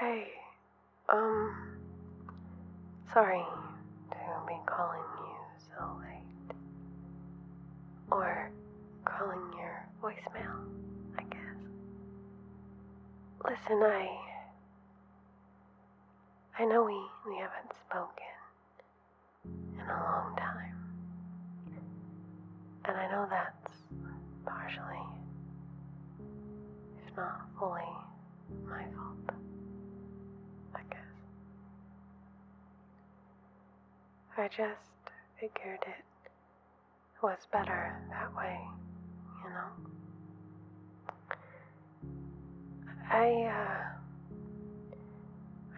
Hey, um, sorry to be calling you so late. Or calling your voicemail, I guess. Listen, I. I know we, we haven't spoken in a long time. And I know that's partially, if not fully, my fault. I guess. I just figured it was better that way, you know. I uh,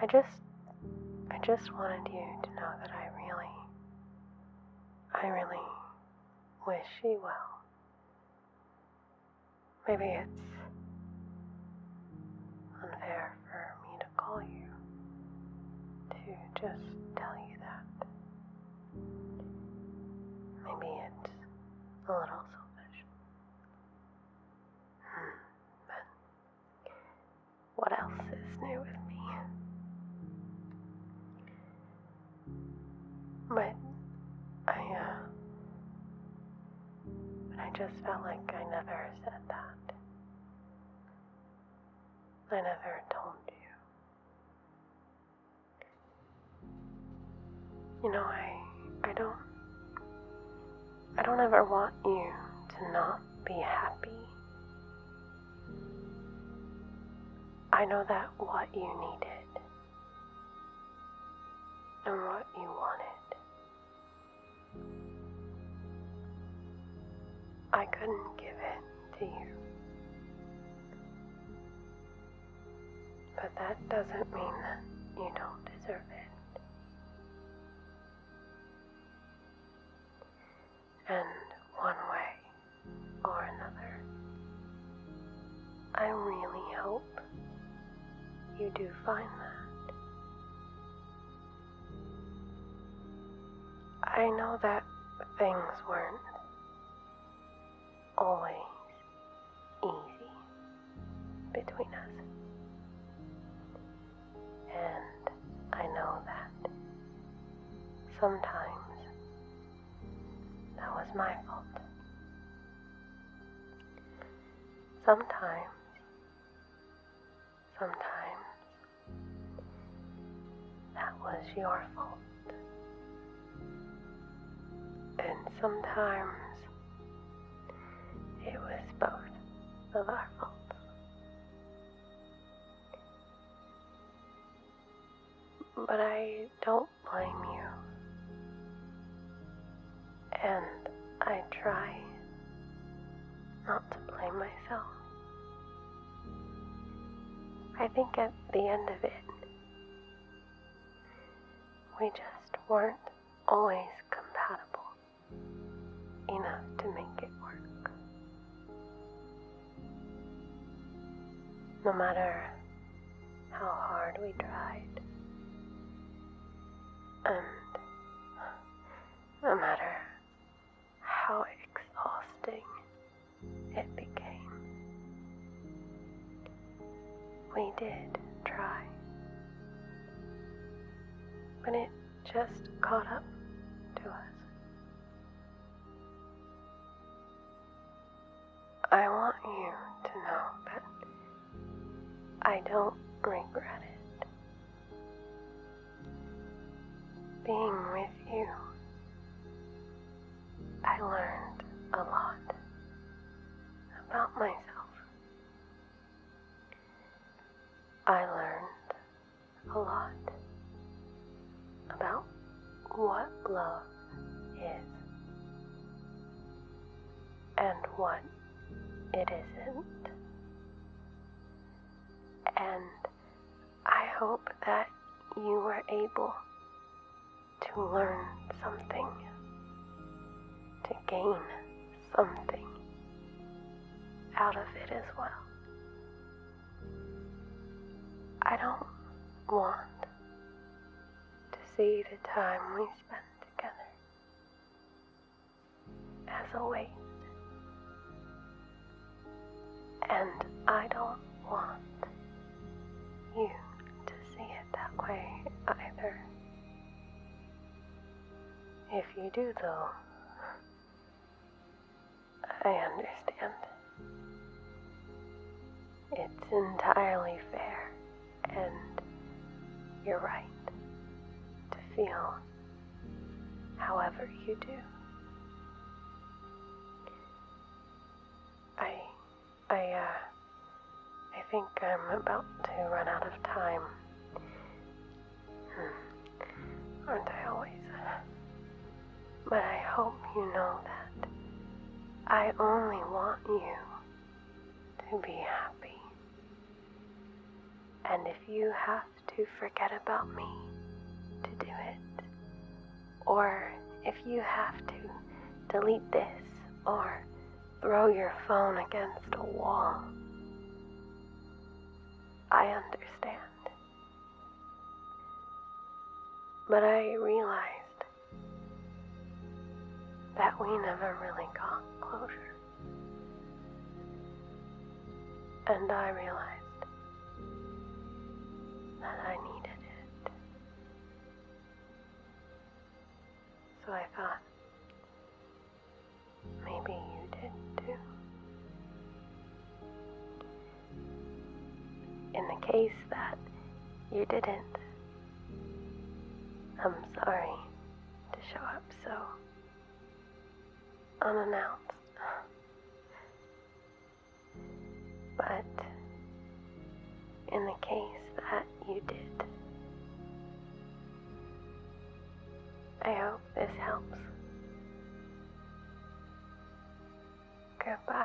I just I just wanted you to know that I really I really wish you well. Maybe it's unfair for me to call you to just tell you that. Maybe it's a little selfish. Hmm, but what else is new with me? But I, uh, but I just felt like I never said that. I never told you. You know, I I don't I don't ever want you to not be happy. I know that what you needed and what you wanted I couldn't give it to you. But that doesn't mean that you don't deserve it. And one way or another, I really hope you do find that. I know that things weren't always easy between us. And I know that sometimes that was my fault. Sometimes sometimes that was your fault. And sometimes it was both of our faults. But I don't blame you. And I try not to blame myself. I think at the end of it, we just weren't always compatible enough to make it work. No matter how hard we tried, and no matter how exhausting it became. We did try. but it just caught up to us. I want you to know that I don't regret it. Being with you, I learned a lot about myself. I learned a lot about what love is and what it isn't and I hope that you were able to learn something, to gain something out of it as well. I don't want to see the time we spend together as a weight. And I don't want you to see it that way either. If you do, though, I understand. It's entirely fair, and you're right to feel however you do. I, I, uh, I think I'm about to run out of time. Hmm. Aren't I always? But I hope you know that I only want you to be happy. And if you have to forget about me to do it. Or if you have to, delete this or throw your phone against a wall. I understand. But I realized that we never really got closure. And I realized that I needed it. So I thought, maybe you did too. In the case that you didn't, I'm sorry to show up so unannounced. But in the case that you did, I hope this helps. Goodbye.